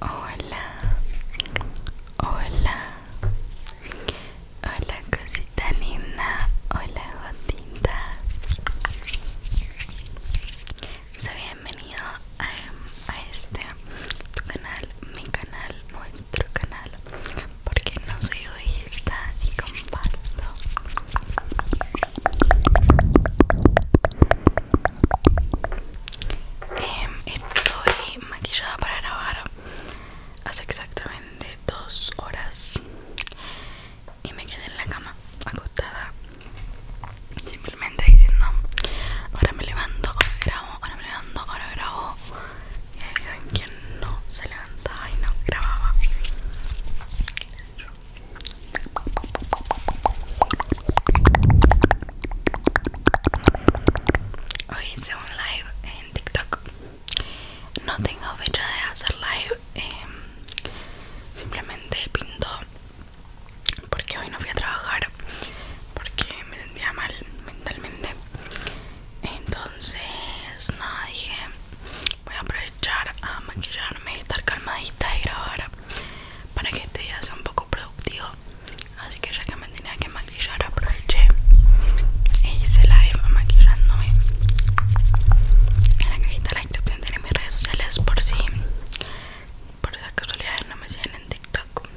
Hola, hola, hola cosita linda, hola gotita. Soy bienvenido a, a este tu canal mi canal, nuestro canal, porque no soy egoísta ni comparto. Em, estoy maquillada para grabar hace exactamente dos horas y me quedé en la cama acostada simplemente simplemente diciendo ahora me levanto, ahora grabo, ahora me levanto, ahora grabo y ahí saben no se levantaba y no grababa Hoy hice un live en TikTok No tengo fecha de hacer live em, Simplemente pinto porque hoy no fui a trabajar porque me sentía mal mentalmente entonces no dije voy a aprovechar a maquillarme estar calmadita y grabar para que este día sea un poco productivo así que ya que me tenía que maquillar aproveché e hice la maquillándome en la cajita de la descripción tiene mis redes sociales por si por esas casualidades no me siguen en TikTok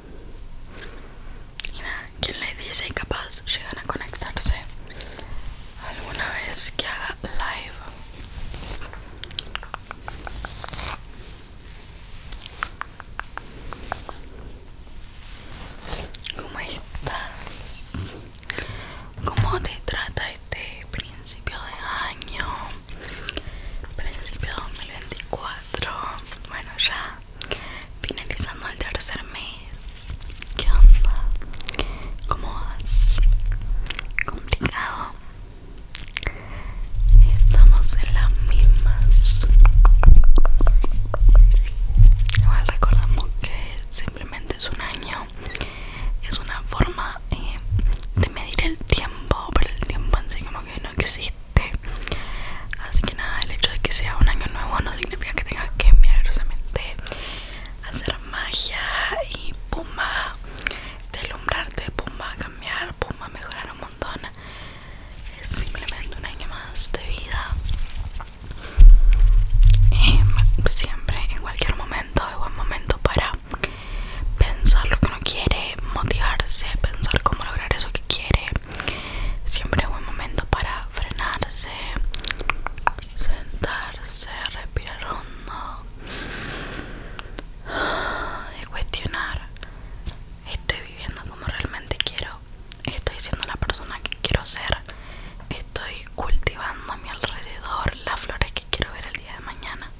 y nada, quien le dice capaz llegan a conectarse alguna vez que haga live. ¿Cómo estás? ¿Cómo te trata este principio de año? principio 2024 bueno ya finalizando el tercer mes ¿qué onda? ¿cómo vas? complicado estamos en las mismas igual recordamos que simplemente es un año es una forma eh, de medir el tiempo pero el tiempo en sí como que no existe Así que nada, el hecho de que sea un año nuevo no significa que tengas que milagrosamente hacer magia y pumba, delumbrarte, pumba, cambiar, pumba, mejorar un montón. Es simplemente un año más de vida. Y siempre, en cualquier momento, es buen momento para pensar lo que uno quiere, motivarse, pensar cómo lograr eso quiere siempre es buen momento para frenarse sentarse respirar hondo y cuestionar estoy viviendo como realmente quiero estoy siendo la persona que quiero ser estoy cultivando a mi alrededor las flores que quiero ver el día de mañana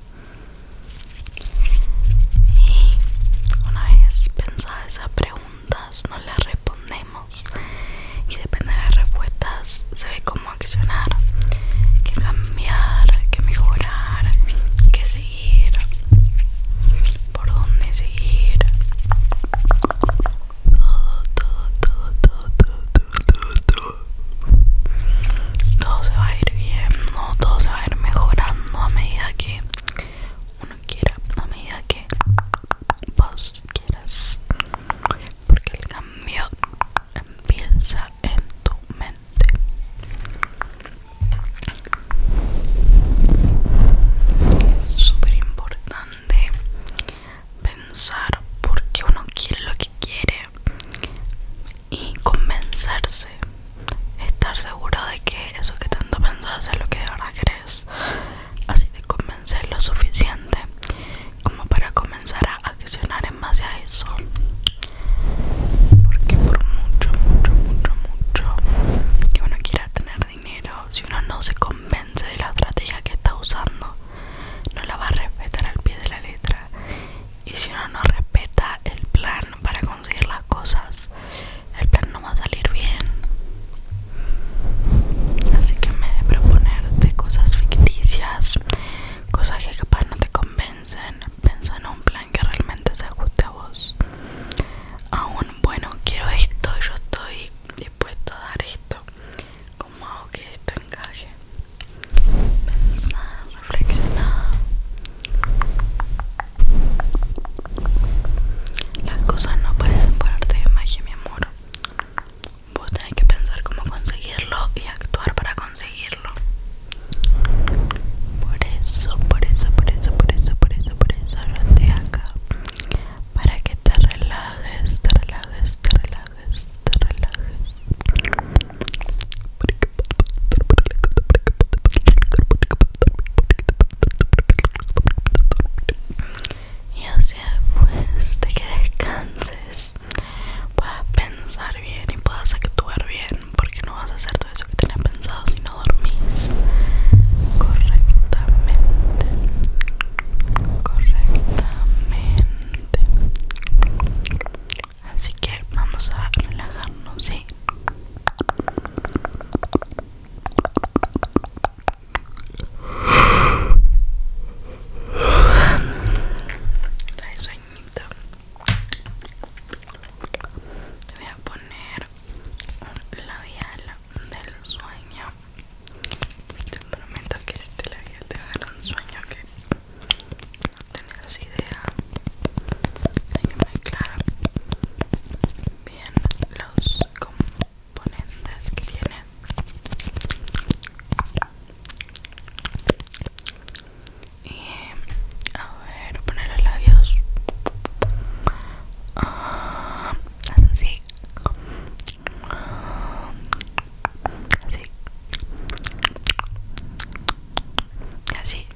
y una vez pensadas esas preguntas, nos las respondemos. Y depende de las respuestas, se ve cómo accionar: Que cambiar, que mejorar, que seguir, por dónde seguir. todo, todo, todo, todo, todo, todo, todo todo se va a ir bien, no, todo se va a ir mejorando a medida que uno quiera, a medida que vos quieras, porque el cambio empieza en tu mente. Es súper importante pensar por qué uno quiere lo que quiere y convencerse, estar seguro de que eso que tanto pensaste es lo que de verdad crees Así de convencer lo suficiente como para comenzar a accionar en base a eso. Porque por mucho, mucho, mucho, mucho que uno quiera tener dinero, si uno no se convence de la estrategia que está usando, no la va a respetar al pie de la letra. Y si uno no respeta el plan para conseguir las cosas el plan no va a salir bien así que en vez de proponerte cosas ficticias cosas que capaz no te convencen piensa en un plan que realmente se ajuste a vos aún bueno quiero esto yo estoy dispuesto a dar esto como hago que esto encaje reflexionada Las cosas no parecen por de magia, mi amor. Vos tenés que pensar cómo conseguirlo y actuar para conseguirlo. Por eso, por eso, por eso, por eso, por eso, por eso yo acá. Para que te relajes, te relajes, te relajes, te relajes. Y así después pues, de que descanses, puedas pensar bien y puedas actuar bien, porque no vas a hacer todo eso que tenías pensado si no dormís correctamente. Correctamente. Correctamente. Así que vamos a relajarnos, ¿sí? Dale sueñito. Te voy a poner un labial del sueño. Te prometo que este labial te dar un sueño que no esa idea de que me bien los componentes que tiene y a ver poner los labios ah, así así y así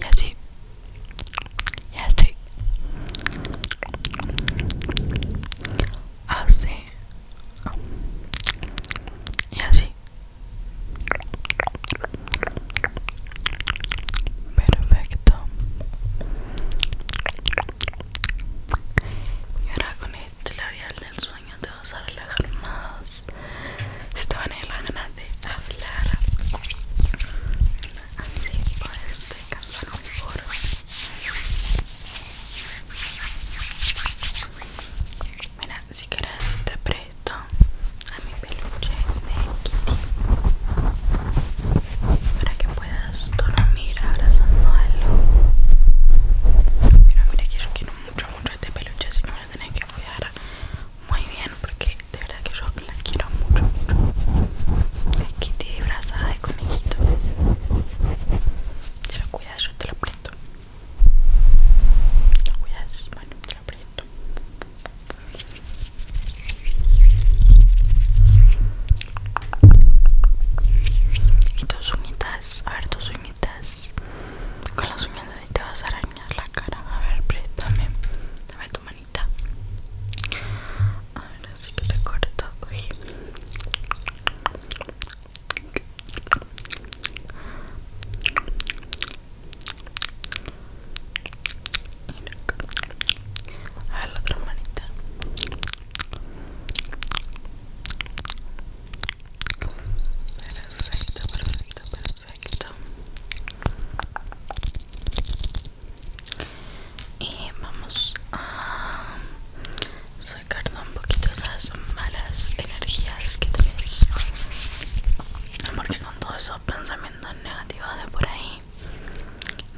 y así y así así y así perfecto y ahora con este labial del sueño te vas a relajar más si te van a ir las ganas de hablar así puedes este descansar mejor mira si quieres te presto a mi peluche de Kitty para que puedas dormir abrazando algo. Mira, mira que yo quiero mucho, mucho este peluche, la que cuidar muy bien porque de verdad que yo la quiero mucho, mucho. Es Kitty disfrazada de conejito. Te lo cuidas, yo te lo aprieto. Te cuidas, bueno, te lo presto. Y tus uñitas, a ver tus uñitas. Con las uñas de te vas a arañar la cara A ver, préstame Dame tu manita a ver así que te corto acá A la otra manita Perfecto, perfecto, perfecto. Y vamos a sacar un poquito esas malas energías que tenés. Porque con todos esos pensamientos negativos de por ahí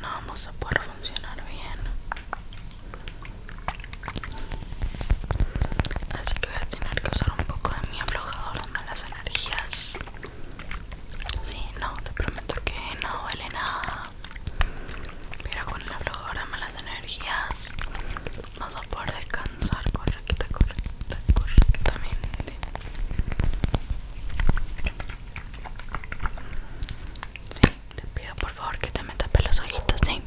no vamos a poder funcionar bien. Así que voy a tener que usar un poco de mi aflojador de malas energías. Sí, no, te prometo que no duele nada. Pero con el aflojador de malas energías Vamos a poder descansar correcta, correcta, correctamente. Sí, te pido por favor que te metas pelos los ojitos, ¿sí?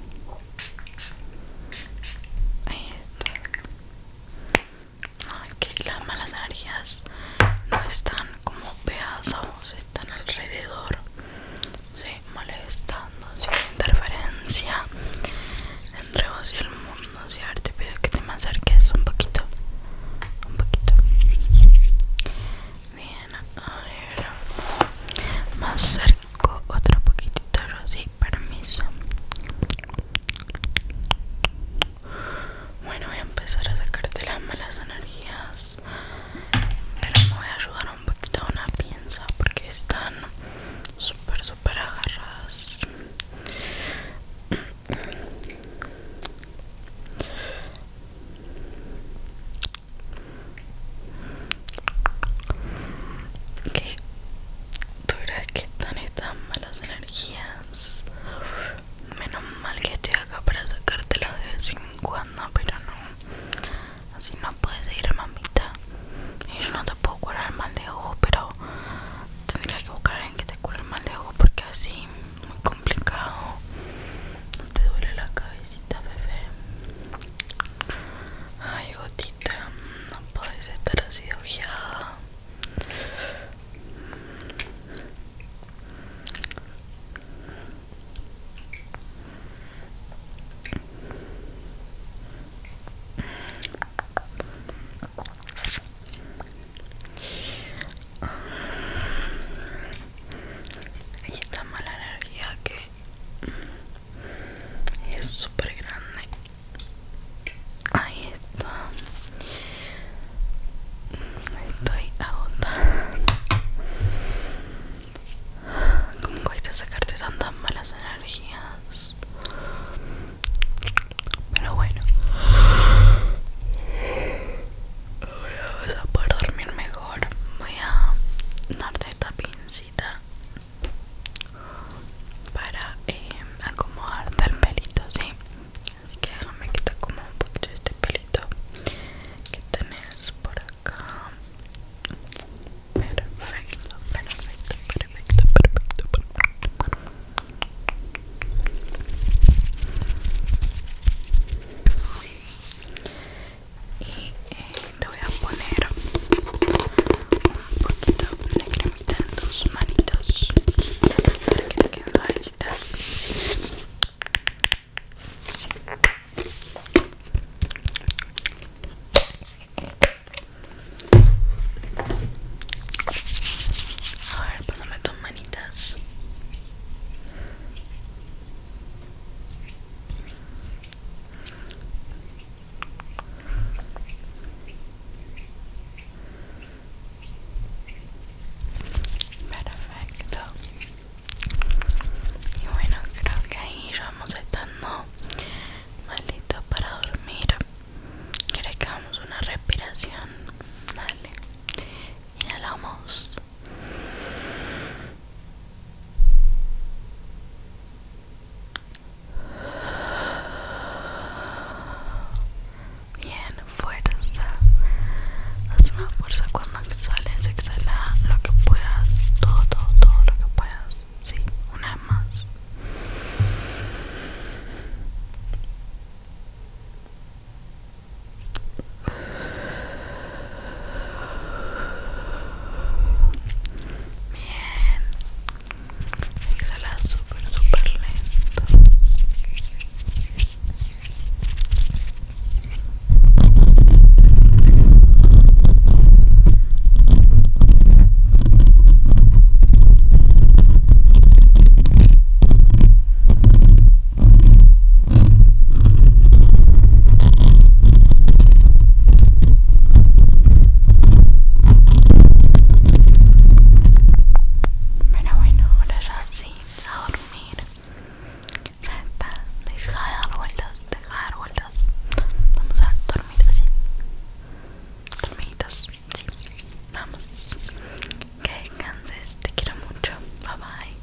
Ahí las malas energías no están como pedazos, están alrededor, ¿sí? molestando, sin interferencia entre vos y el mundo. ¿sí? A te pido que te me acerques un poquito, un poquito. Bien, a ver, más cerca otra otro poquitito sí, permiso bueno voy a empezar a sacarte las malas energías pero me voy a ayudar un poquito a una piensa porque están súper súper agarradas que tú que están estas malas energías menos mal que estoy acá para sacártelas de vez en cuando pero no así no puedes ir a mamita y yo no te puedo curar mal de ojo pero tendría que buscar en alguien que te cure el mal de ojo porque así muy complicado no te duele la cabecita bebé Ay, gotita, no puedes estar así ojeada. Hay esta mala energía que es súper grande ahí está estoy agotada como a sacarte tantas malas energías pero bueno ahora voy a poder dormir mejor voy a darte esta para el em, pelito, ¿sí? Así que déjame que te un poquito este pelito que tenés por acá. Perfecto, perfecto, perfecto, perfecto, perfecto y eh, te voy a poner un poquito de cremita en tus manitos para que te queden A ver, pásame tus manitas. Perfecto. Y bueno, creo que ahí ya vamos estando malito para dormir. Hacemos que hagamos una respiración? Dale. Inhalamos. Bien, fuerza. Haz fuerza cuando exhales, exhala lo que puedas, todo, todo, todo lo que puedas. Sí, una vez más. Bien. Exhala súper, super lento. Bueno, bueno, ahora sí, a dormir. deja de dar vueltas, deja de dar vueltas. Vamos a dormir así. Dormiditos, sí. Vamos. Que descanses, te quiero mucho. Bye bye.